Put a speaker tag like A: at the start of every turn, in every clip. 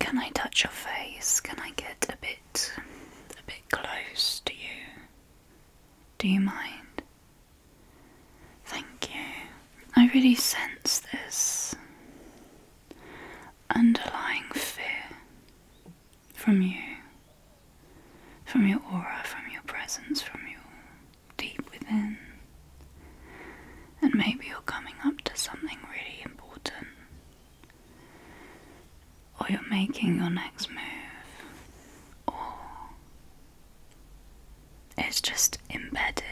A: Can I touch your face? Can I get a bit a bit close to you? Do you mind? Thank you. I really sense this underlying fear from you, from your aura, from your presence, from your deep within. And maybe you're coming up to something really important. Or you're making your next move. Or it's just embedded.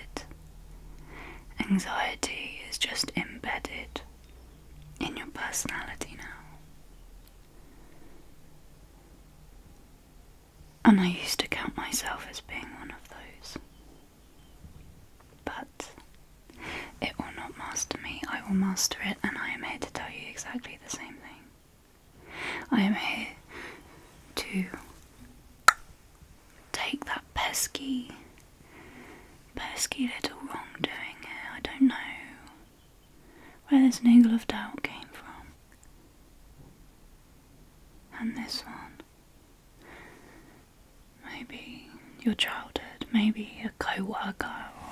A: Anxiety is just embedded in your personality now. And I used to count myself as being one of those. But it will not master me, I will master it, and I am here to tell you exactly the same thing. I am here to take that pesky, pesky little wrongdoing I don't know where this niggle of doubt came from. And this one maybe your childhood, maybe a co worker or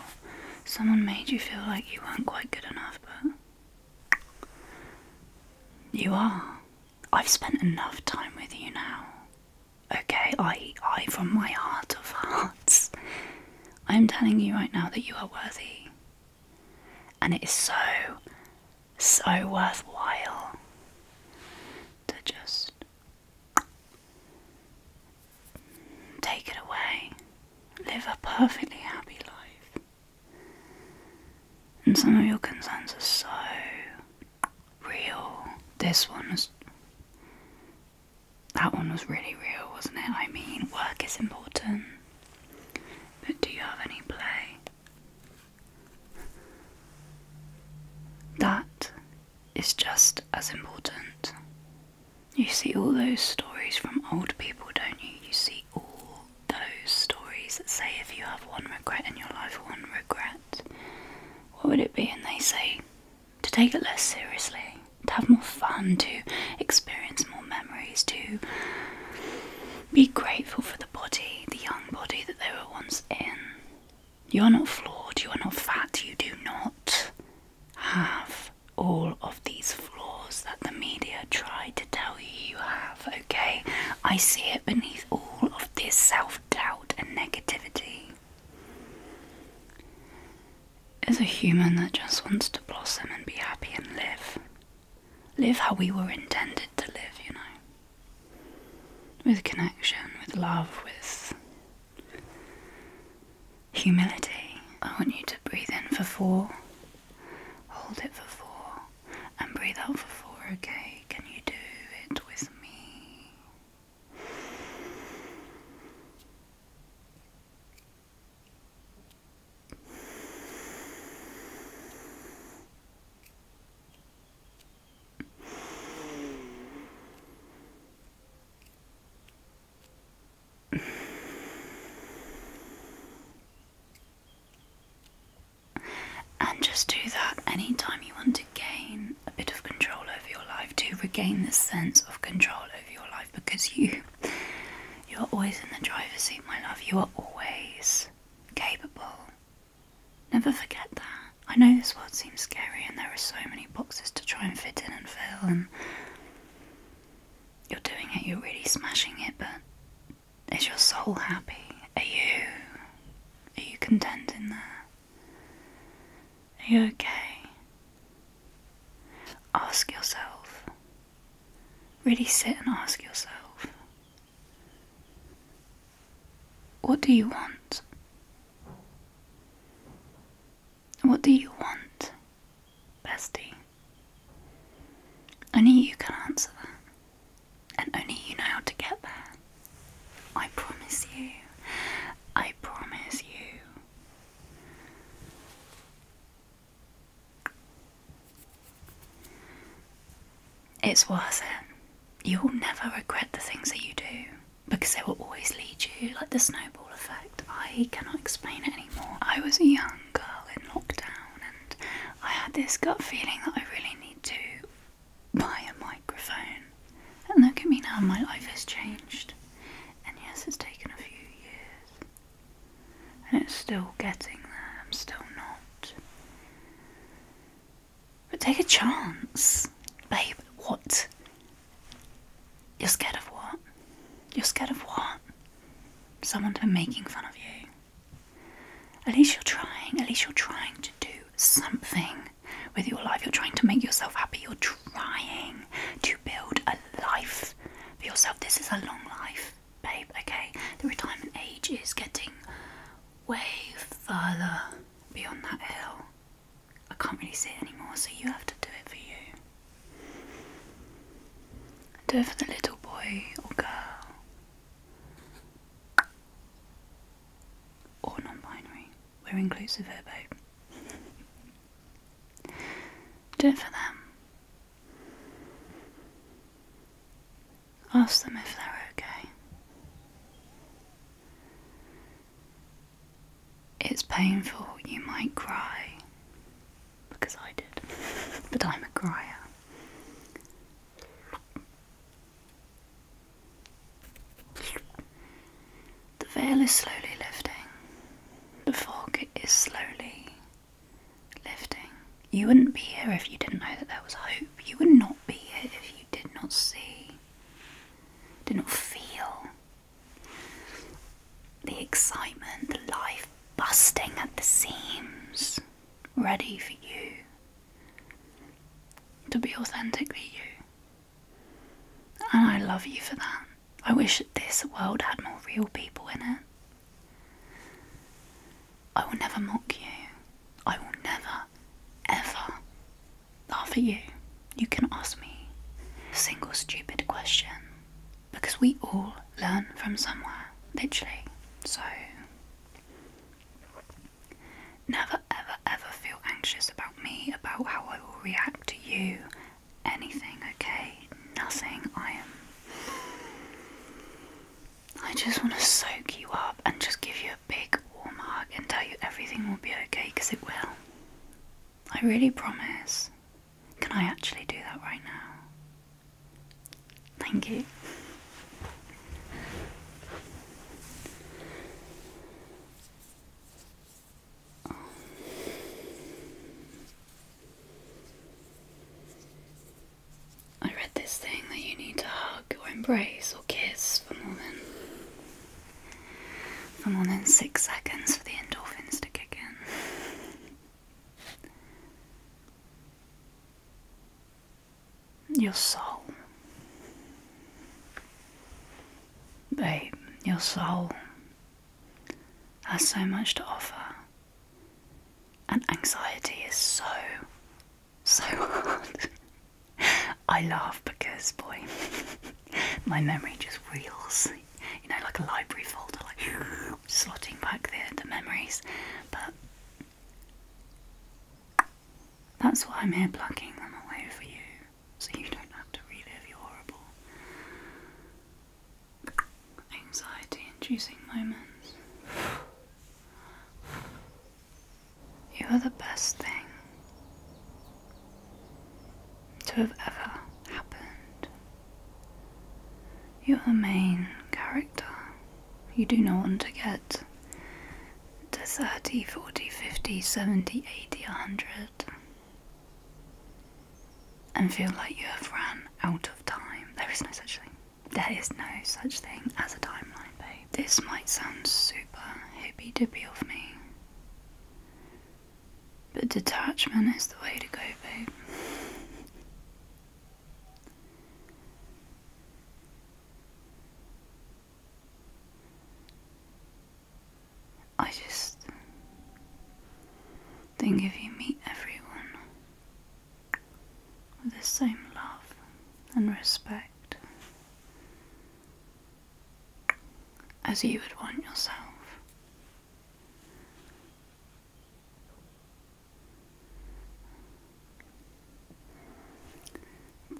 A: someone made you feel like you weren't quite good enough, but you are. I've spent enough time with you now. Okay, I, I, from my heart of hearts, I'm telling you right now that you are worthy. And it is so so worthwhile to just take it away, live a perfectly happy life. And some of your concerns are so real. This one was. That one was really real, wasn't it? I mean, work is important. But do you have any play? That is just as important. You see all those stories from old people, don't you? You see all those stories that say if you have one regret in your life, one regret, what would it be? And they say to take it less seriously, to have more fun, to experience more memories, to be grateful for the body, the young body that they were once in. You are not flawed, you are not fat, you do not have all of these flaws that the media try to tell you you have, okay? I see it beneath all of this self doubt and negativity. As a human that just wants to blossom and be happy and live, Live how we were intended to live, you know. With connection, with love, with humility. I want you to breathe in for four, hold it for four, and breathe out for four, okay? Can you do it with me? And just do that anytime you want to gain a bit of control over your life, to regain the sense of control over your life because you you're always in the driver's seat, my love. You are always capable. Never forget that. I know this world seems scary and there are so many boxes to try and fit in and fill, and you're doing it, you're really smashing it, but is your soul happy? Are you are you content in there? Are you okay? Ask yourself Really sit and ask yourself what do you want? What do you want, bestie? Only you can answer that, and only you know how to get there. I promise you. I promise you. It's worth it. You'll never regret the things that you do because they will always lead you, like the snowball effect. I cannot explain it anymore. I was a young girl in lockdown and I had this gut feeling that I really need to buy a microphone. And look at me now, my life has changed. And yes, it's taken a few years. And it's still getting there, I'm still not. But take a chance. Babe, what? You're scared of what? You're scared of what? Someone's been making fun of you. At least you're trying. At least you're trying to do something with your life. You're trying to make yourself happy. You're trying to build a life for yourself. This is a long life babe, okay, the retirement age is getting way further beyond that hill. I can't really see it anymore, so you have to do it for you. Do it for the little boy or girl. Or non binary. We're inclusive here, babe. do it for them. Ask them if they're okay. It's painful, you might cry. Because I did. but I'm a cryer. The veil is slowly lifting. The fog is slowly lifting. You wouldn't be here if you didn't know that there was hope. You would not be here if you did not see, did not feel the excitement, the life busting at the seams, ready for you to be authentic, for you. And I love you for that. I wish this world had more real people in it. I will never mock you. I will never, ever laugh at you. You can ask me a single stupid question because we all learn from somewhere, literally. So, never, ever, ever feel anxious about me, about how I will react to you, anything, okay? Nothing. I am. I just want to soak you up and just give you a big warm hug and tell you everything will be okay because it will. I really promise. Can I actually do that right now? Thank you. I read this thing that you need to hug or embrace or kiss for more than for more than six seconds for the endorphins to kick in. Your soul. Babe, your soul has so much to offer. And anxiety is so, so hard. I laugh because, boy, my memory just reels, you know, like a library folder, like slotting back the, the memories. But that's why I'm here plucking them away for you, so you don't have to relive your horrible anxiety inducing moments. You are the best thing to have ever happened. You're the main character. You do not want to get to 30, 40, 50, 70, 80, 100 and feel like you have ran out of time. There is no such thing. There is no such thing as a timeline, babe. This might sound super hippy dippy of me, but detachment is the way to go, babe. I just think if you meet everyone with the same love and respect as you would want yourself,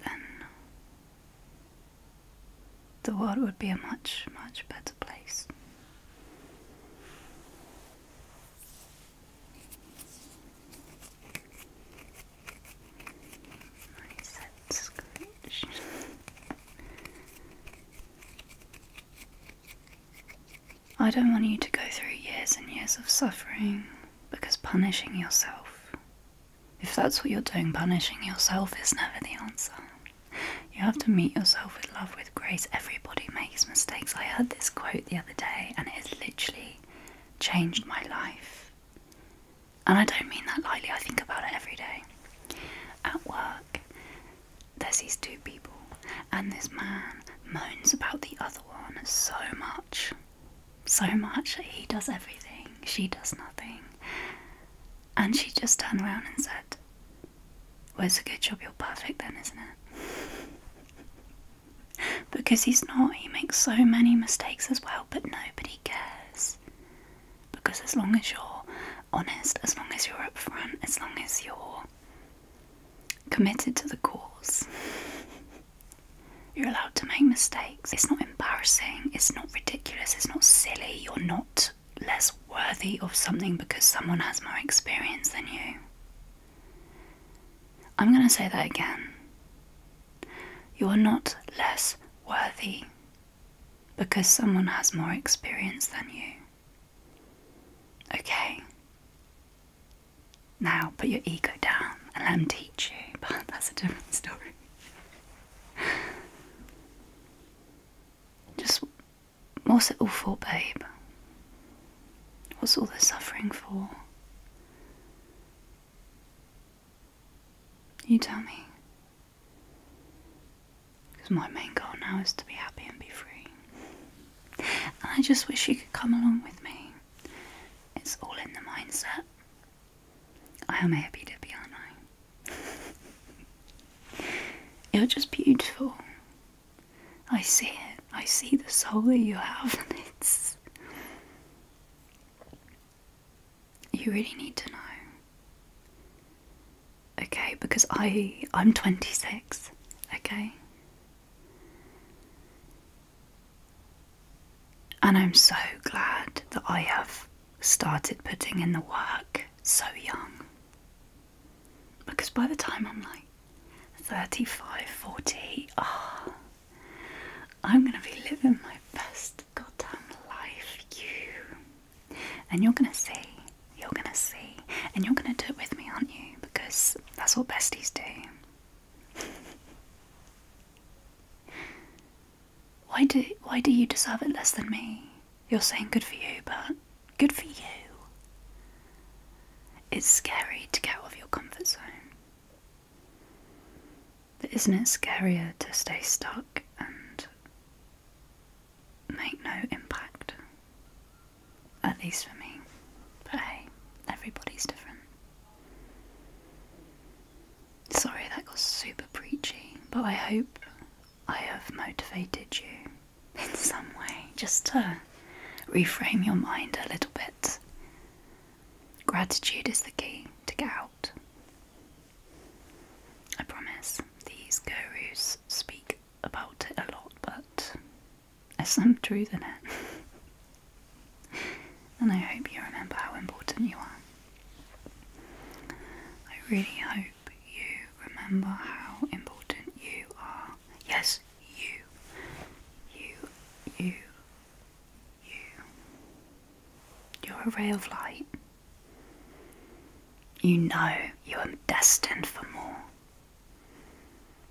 A: then the world would be a much, much better place. I don't want you to go through years and years of suffering because punishing yourself, if that's what you're doing, punishing yourself is never the answer. You have to meet yourself with love, with grace. Everybody makes mistakes. I heard this quote the other day and it has literally changed my life. And I don't mean that lightly, I think about it every day. At work, there's these two people, and this man moans about the other one so much. So much. He does everything, she does nothing. And she just turned around and said, "Where's it's a good job you're perfect then, isn't it? because he's not, he makes so many mistakes as well, but nobody cares. Because as long as you're honest, as long as you're upfront, as long as you're committed to the cause, you're allowed to make mistakes. It's not embarrassing, it's not ridiculous, it's not silly, you're not less worthy of something because someone has more experience than you. I'm going to say that again. You are not less worthy because someone has more experience than you. Okay. Now put your ego down and let them teach you, but that's a different story. Just, what's it all for, babe? What's all this suffering for? You tell me. Because my main goal now is to be happy and be free. And I just wish you could come along with me. It's all in the mindset. I am happy to be, aren't I? You're just beautiful. I see it. I see the soul that you have, and it's. You really need to know. Okay, because I I'm 26. Okay. And I'm so glad that I have started putting in the work so young. Because by the time I'm like 35, 40, ah, I'm going to be living my best goddamn life, you. And you're going to see, you're going to see, and you're going to do it with me, aren't you? Because that's what besties do. Why do why do you deserve it less than me? You're saying good for you, but good for you. It's scary to get out of your comfort zone. But isn't it scarier to stay stuck and make no impact? At least for me. But hey, everybody's different. Sorry that got super preachy, but I hope I have motivated you in some way just to reframe your mind a little bit. Gratitude is the key to get out. I promise these gurus speak about it a lot, but there's some truth in it. and I hope you remember how important you are. I really hope you remember how important you are. Yes, you. You, you, you. You're a ray of light. You know you are destined for more.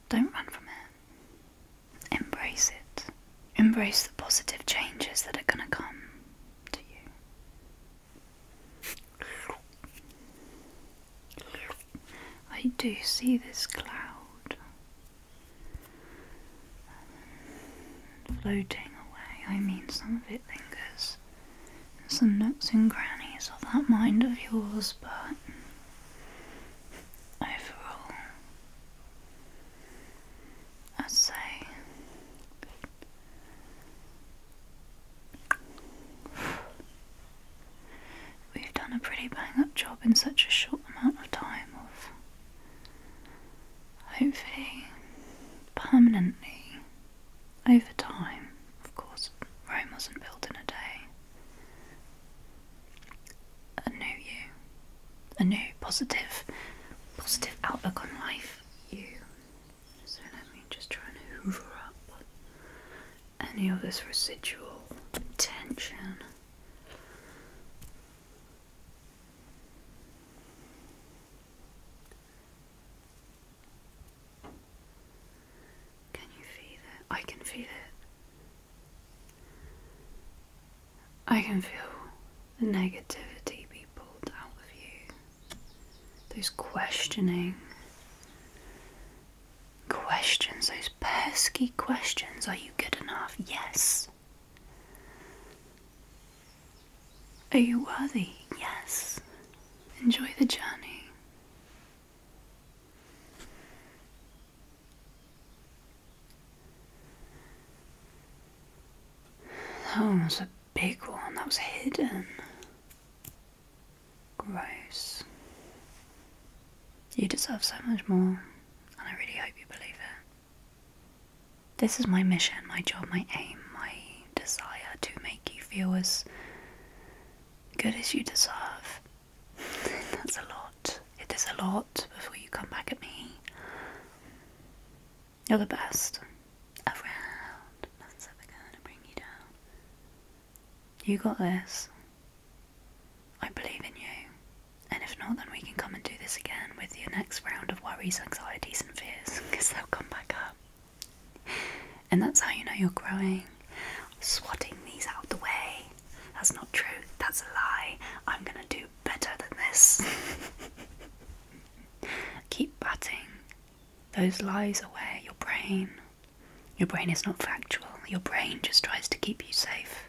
A: Don't run from it, embrace it. Embrace the positive changes that are going to come to you. I do see this cloud um, floating away. I mean, some of it lingers some nooks and grannies of that mind of yours, but overall, i say we've done a pretty bang up job in such a short amount of time of hopefully permanently over time. Of course, Rome wasn't built in a day. A new you a new positive, positive outlook on life. You. So let me just try and hoover up any of this residual tension. Can you feel it? I can feel it. I can feel the negativity be pulled out of you. Those questioning questions, those pesky questions. Are you good enough? Yes. Are you worthy? Yes. Enjoy the journey. That one was a big one, that was hidden. Gross. You deserve so much more, and I really hope you believe it. This is my mission, my job, my aim, my desire to make you feel as good as you deserve. That's a lot. It is a lot before you come back at me. You're the best. Around. Nothing's ever gonna bring you down. You got this. I believe in you. And if not, then we can come and do this again with your next round of worries, anxieties, and fears, because they'll come back up. And that's how you know you're growing. Swatting these out of the way. That's not true. That's a lie. I'm gonna do better than this. Keep batting those lies away, your brain. Your brain is not factual, your brain just tries to keep you safe.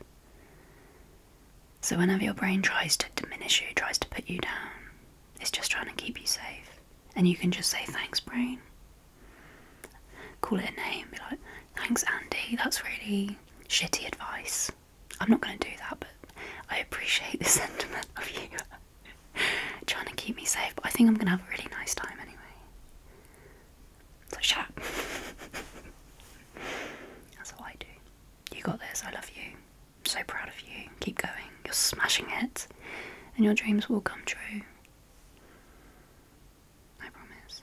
A: So, whenever your brain tries to diminish you, tries to put you down, it's just trying to keep you safe. And you can just say, Thanks, brain. Call it a name, be like, Thanks, Andy, that's really shitty advice. I'm not going to do that, but I appreciate the sentiment of you trying to keep me safe. But I think I'm going to have a really nice time anyway. So shut up. That's all I do. You got this. I love you. so proud of you. Keep going. You're smashing it, and your dreams will come true. I promise.